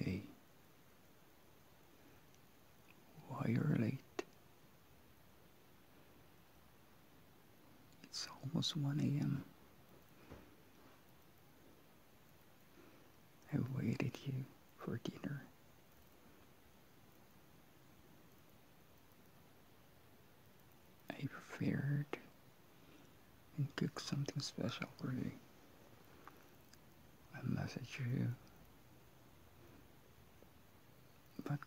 Hey, why are you late? It's almost 1 a.m. I waited you for dinner. I prepared and cooked something special for you. I message you, but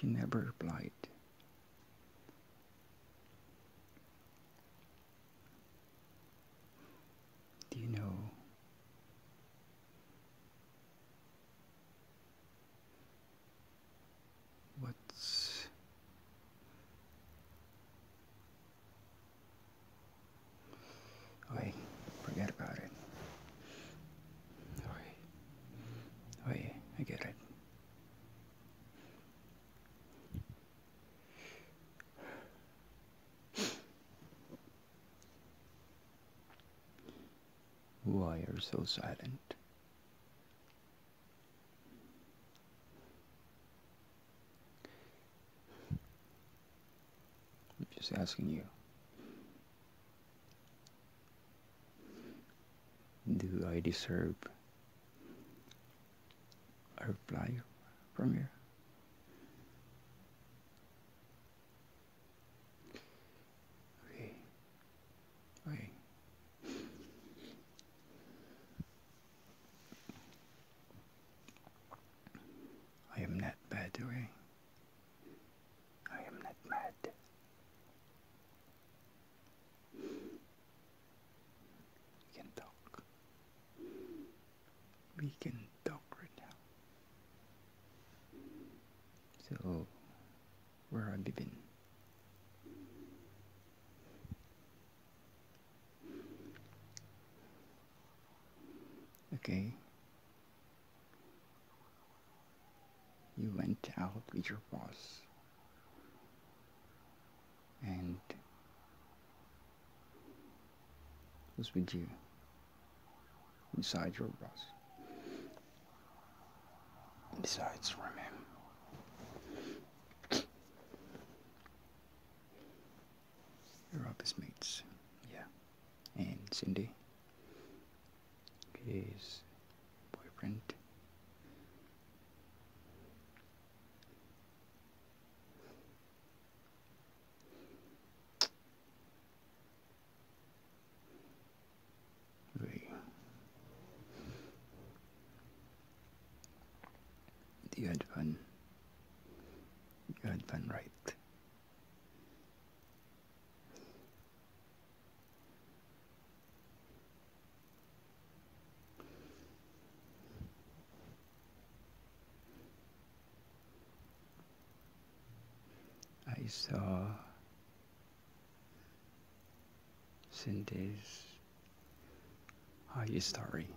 you never replied. Do you know what's Oi, forget about it. Oi, oi, I get it. Why are you so silent? I'm just asking you. Do I deserve a reply from you? Okay. Okay. I am not bad, Ray. I am not mad. We can talk. We can talk right now. So, where have you been? Okay. You went out with your boss and was with you inside your boss. Besides, remember. Robbie's mates, yeah. And Cindy, his boyfriend. Wait. You had fun. You had fun, right? I saw Cindy's are you sorry?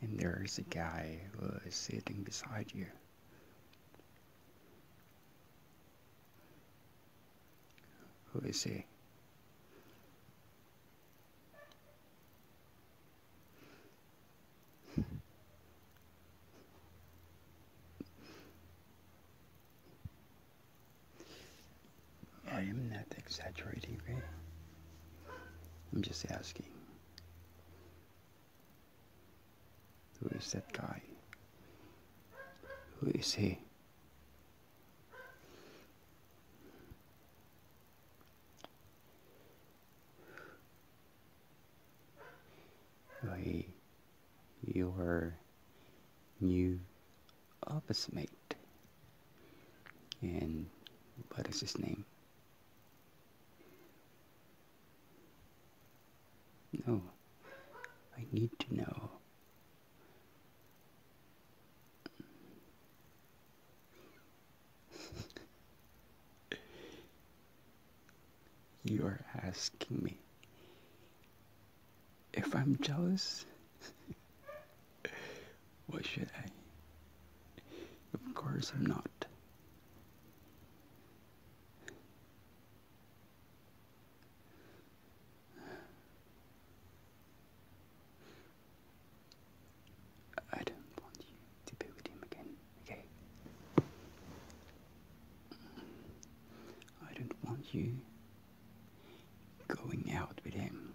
And there is a guy who is sitting beside you. Who is he? I am not exaggerating, I'm just asking. Who is that guy? Who is he? Why, you are new of mate. And what is his name? No, I need to know. you are asking me if I'm jealous, what should I? Of course, I'm not. I don't want you to be with him again, okay? I don't want you going out with him.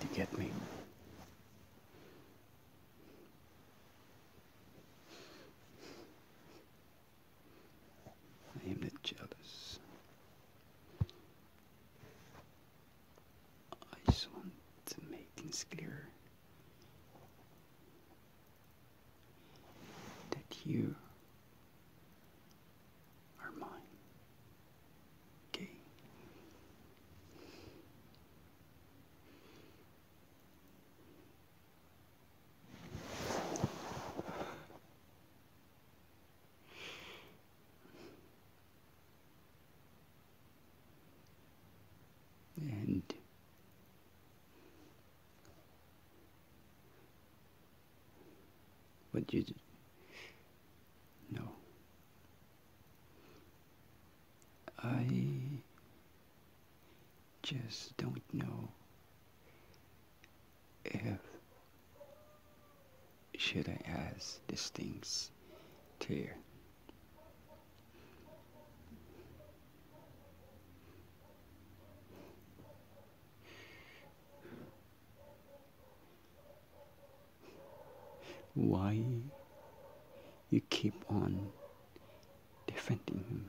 Do you get me? I am not jealous. I just want to make things clear that you are mine. Okay and what you know. I just don't know if should I ask these things to you why you keep on defending him.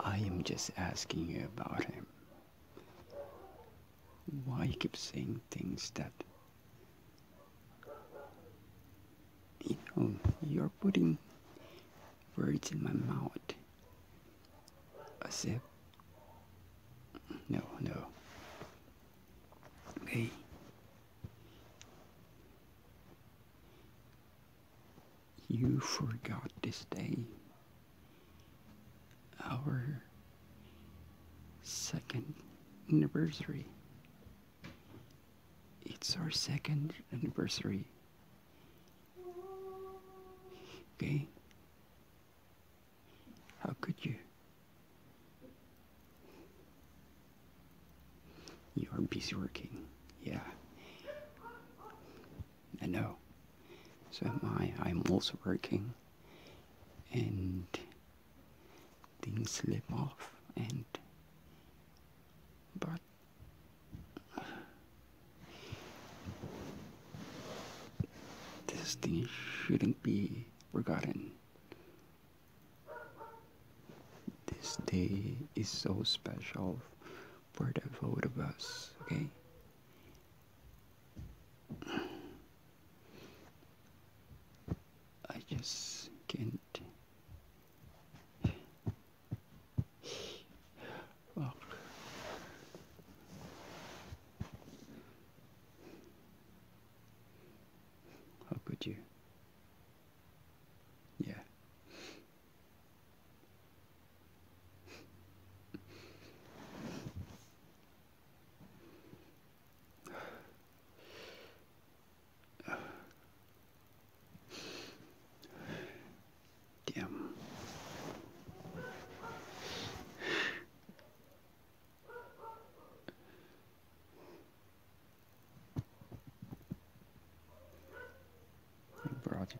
I am just asking you about him why you keep saying things that you know you're putting words in my mouth I said, no no okay you forgot this day our second anniversary. It's our second anniversary. Okay? How could you? You are busy working. Yeah. I know. So am I. I'm also working. And things slip off and but this thing shouldn't be forgotten. This day is so special for the both of us, okay? I just can't. how could you? Yeah. Damn. You brought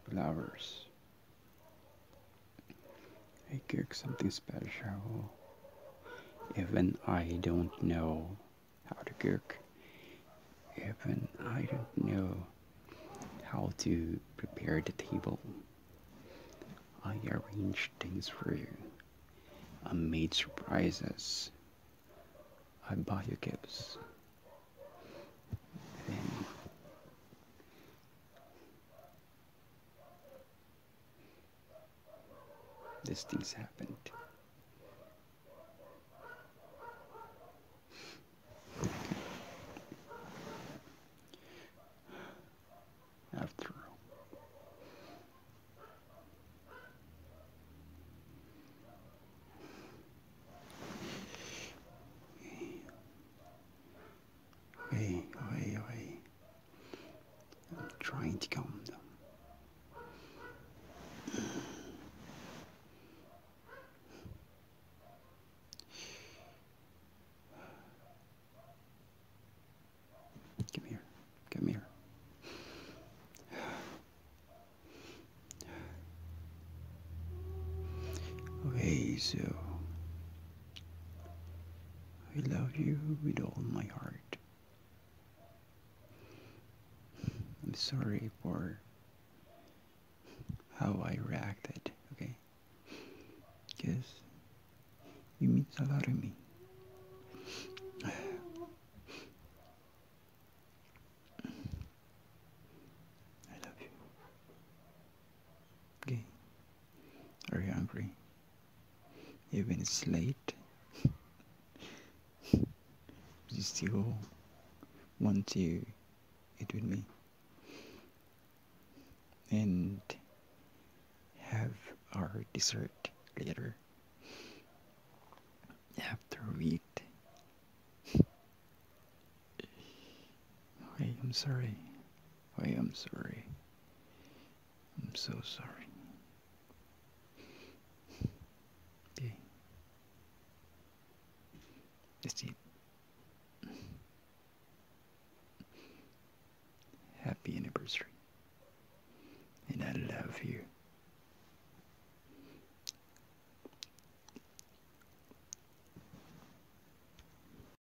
I cook something special even I don't know how to cook even I don't know how to prepare the table I arrange things for you I made surprises I buy you gifts this things happened. After Hey, oh hey, hey. I'm trying to calm down. Come here. Come here. Okay, so I love you with all my heart. I'm sorry for how I reacted, okay? Because you mean a lot to me. I love you. Okay. Are you hungry? Even it's late. you still want to eat with me and have our dessert later after we eat. I'm sorry. I am sorry. I'm so sorry. Okay. Is happy anniversary? And I love you.